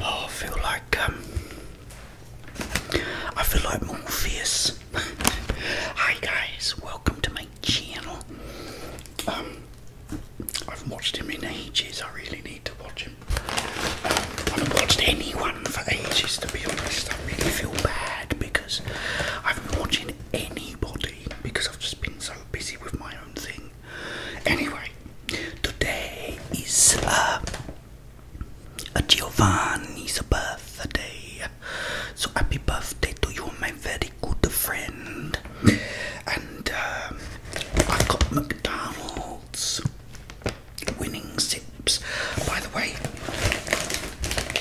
Oh, I feel like um, I feel like Morpheus. Hi guys, welcome to my channel. Um, I've watched him in ages. I really need to watch him. Um, I haven't watched anyone for ages, to be honest. I really feel bad because. I have been watching anybody because I've just been so busy with my own thing. Anyway, today is uh, a Giovanni's birthday. So happy birthday to you, my very good friend. And um, I've got McDonald's winning sips. By the way,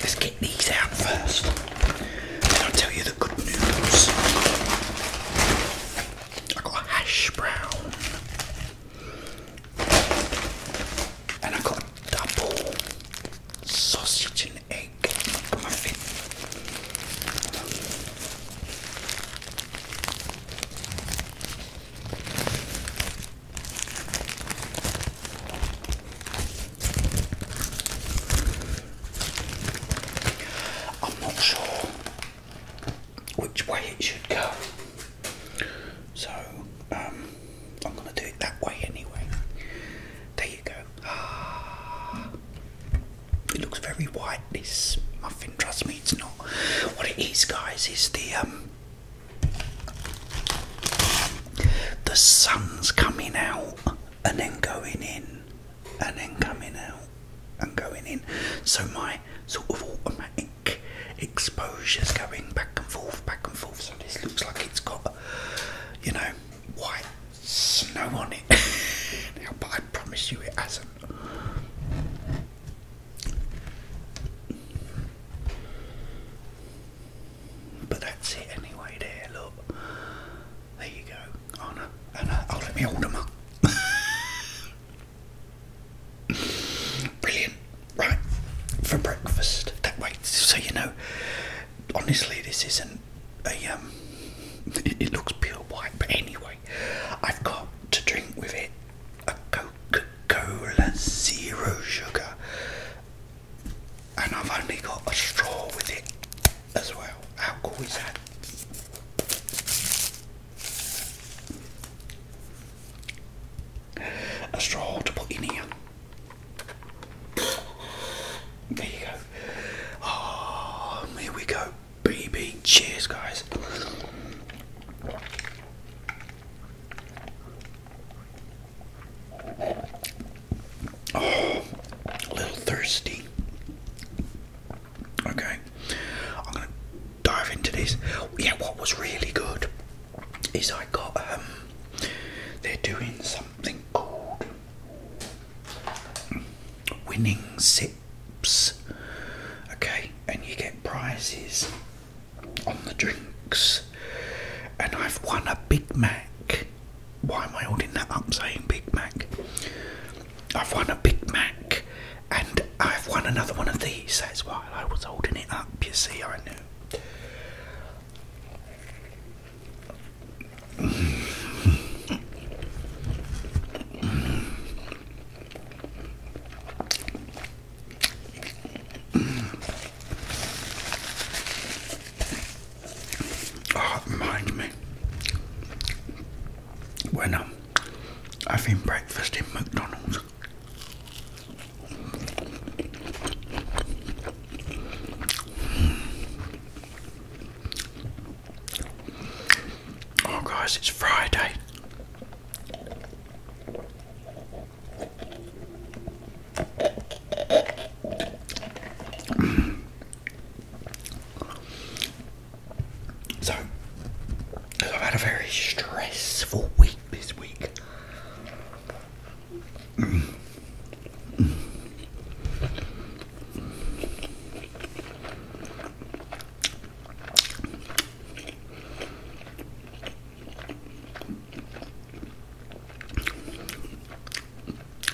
let's get these out first. And I'll tell you the good news. I got a hash brown. And I got double sausage and egg muffin. I'm not sure which way it should go, so um, I'm going to do it that way anyway. There you go. Ah, it looks very white. This muffin, trust me, it's not. What it is, guys, is the um, the sun's coming out and then going in and then coming out and going in. So my sort of automatic exposure's going back and forth, back and forth. So this looks like it's got, you know, white snow on it. now, but I promise you it hasn't. But that's it anyway, there, look. There you go. Uh, oh no, oh, no. let me hold them Brilliant. Right, for breakfast. That way, so you know, honestly, this isn't a, um, it, looks pure white, but anyway, I've got to drink with it a Coca Coca Cola Zero Sugar, and I've only got a straw with it as well. How cool is that? A straw to put in here. There you go. Oh, here we go. BB. Cheers, guys. Oh, a little thirsty. Okay, I'm gonna dive into this. Yeah, what was really good is I got um, they're doing something called winning six sips, okay, and you get prizes on the drinks. And I've won a Big Mac. Why am I holding that up saying Big Mac? I've won a Big Mac and I've won another one of these. That's why I was holding it up. You see, I knew reminds ah, me when I'm having breakfast in McDonald's. Oh, guys, it's Friday. So, I've had a very stressful week this week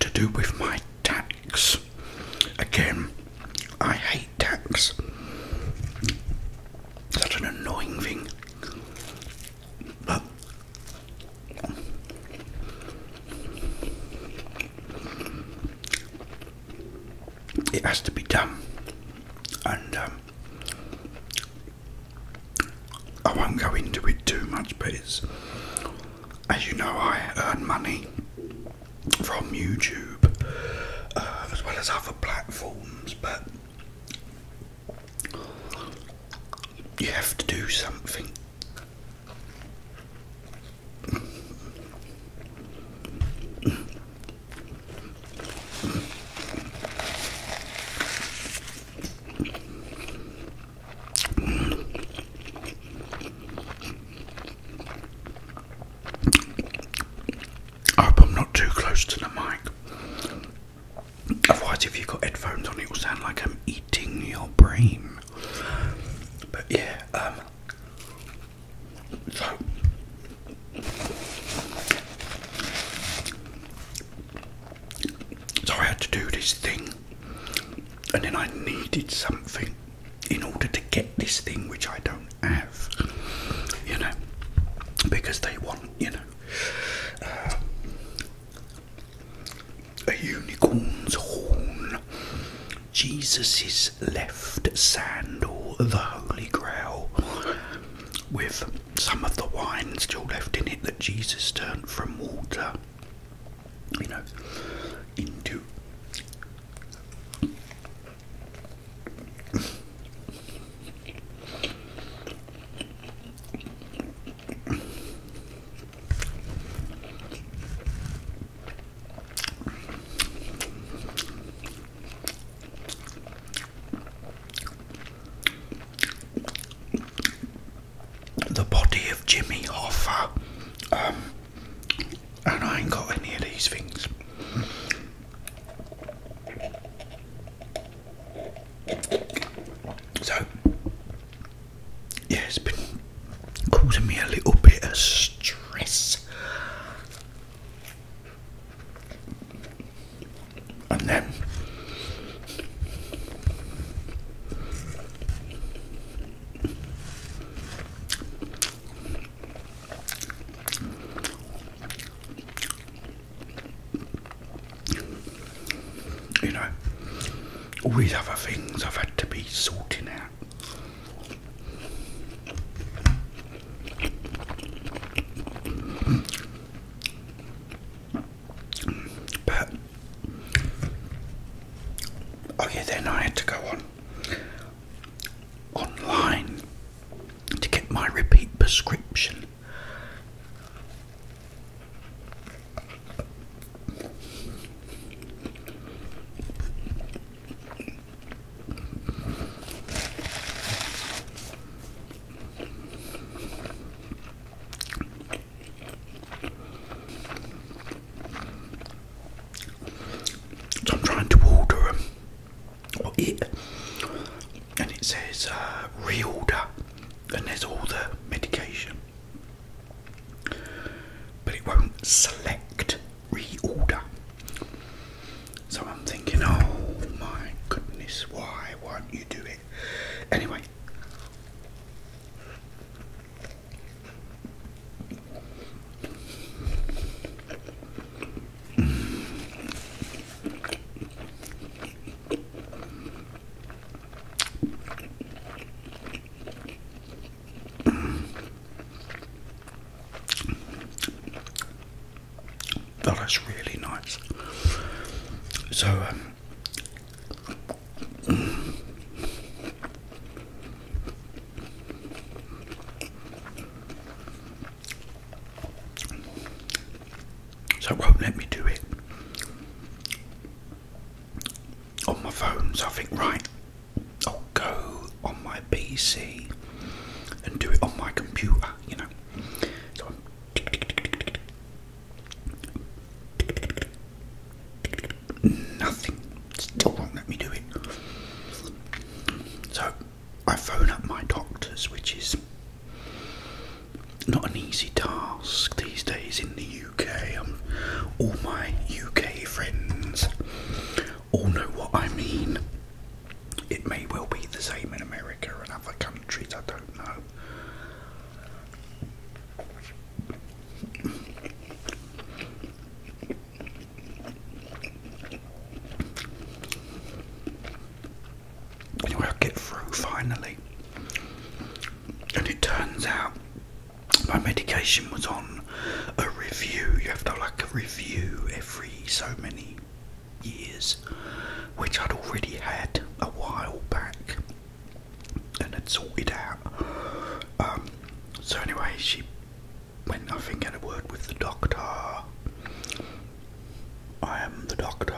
to do with my tax. Again, I hate tax. Such an annoying thing. But it has to be done, and um, I won't go into it too much. But as you know, I earn money from YouTube uh, as well as other platforms, but you have to do something. I hope I'm not too close to the mic. Otherwise, if you've got headphones on, it will sound like I'm eating your brain. But yeah, um, so so I had to do this thing and then I needed something in order to get this thing which I don't have you know because they want you know uh, a unicorn's horn Jesus' left sandal, the Holy Grail, with some of the wine still left in it that Jesus turned from water, you know, into. The body of Jimmy Hoffa, um, and I ain't got any of these things. So, yeah, it's been causing me a little bit of stress. And then you know, all these other things I've had to be sorting out. But oh then I had to go on online to get my repeat prescription. So I'm trying to order them and it says uh, reorder, and there's all the medication but it won't select reorder. So I'm thinking, oh my goodness, why won't you do it? Anyway, that is really nice. So, um, so let me do it on my phone. So I think, right, I'll go on my PC and do it on my computer, you know. So Nothing. Still won't let me do it. So I phone up my doctors, which is not an easy task these days in the UK. Um, all my UK friends all know what I mean. It may well be the same in America and other countries, I don't know. Anyway, I get through finally, and it turns out my medication was on a review. You have to like review every so many years, which I'd already had a while back and had sorted out. Um, so, anyway, she went, I think, had a word with the doctor. I am the doctor.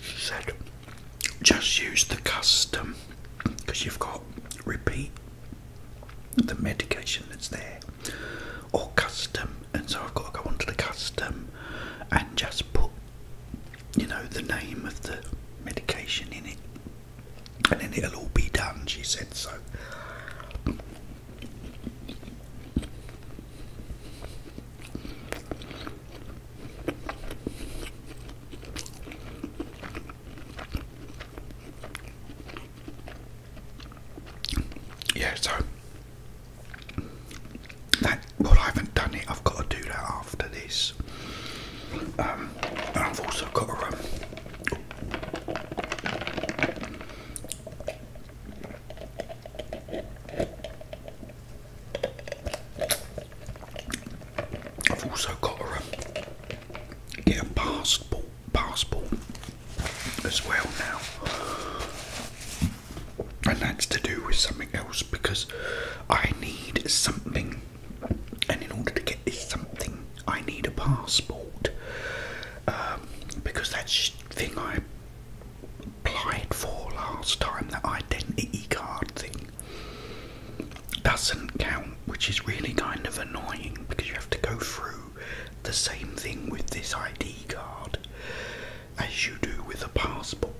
she said, just use the custom because you've got repeat the medication that's there or custom and so I've got to go onto the custom and just put you know the name of the medication in it and then it'll all be done she said so yeah, so well, I haven't done it. I've got to do that after this. Um, I've also got to. Um, I've also got a. um, get a basketball passport as well now, and that's to do with something else because I need something, and in order to get this something, I need a passport um, because that thing I applied for last time, that identity card thing, doesn't count, which is really kind of annoying because you have to go through the same thing with this ID card as you do with a passport.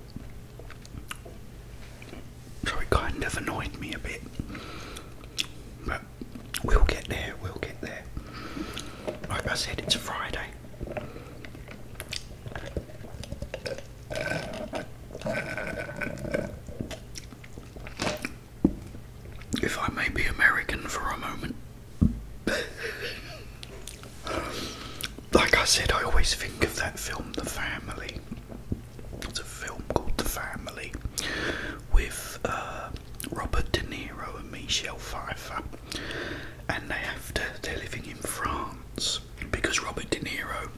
So it kind of annoyed me a bit. But we'll get there, we'll get there. Like I said, it's Friday if I may be American for a moment. like I said, I always think of that film, The Family. It's a film called The Family with uh, Robert De Niro and Michelle Pfeiffer, and they have to, they're living in France because Robert De Niro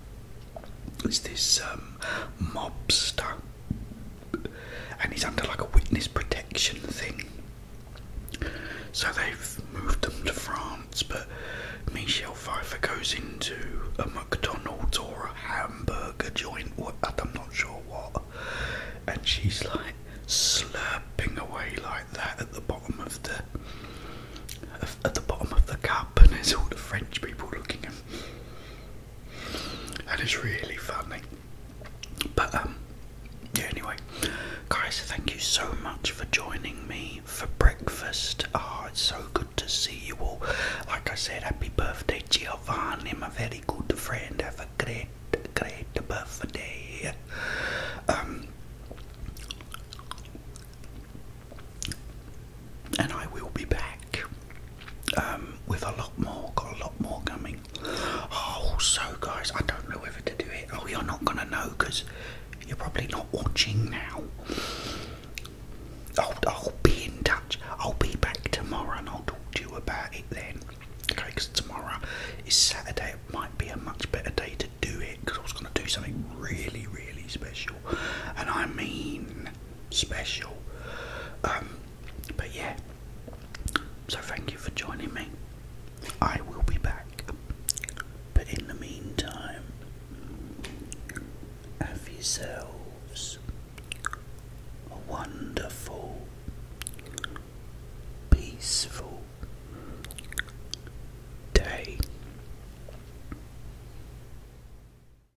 is this um, mobster and he's under like a witness protection thing. So they've moved them to France, but Michelle Pfeiffer goes into a McDonald's or a hamburger joint, I'm not sure what, and she's like slurping away like that at the bottom of the at the bottom of the cup, and there's all the French people looking at and it's really funny. But um, yeah. Anyway, guys, thank you so much for joining me for breakfast. Oh, it's so good to see you all. Like I said, happy birthday, Giovanni, my very good friend. Have a great, great birthday. Um, and I will be back. Um, with a lot more. Got a lot more coming. Oh, guys, I don't know whether to do it. Oh, you're not gonna know because you're probably not watching now. I'll, be in touch. I'll be back tomorrow and I'll talk to you about it then. Okay, because tomorrow is Saturday. It might be a much better day to do it because I was going to do something really, really special. And I mean special. Um, but yeah, so thank you for joining me. I will be back. But in the meantime, have yourselves a wonderful, peaceful day.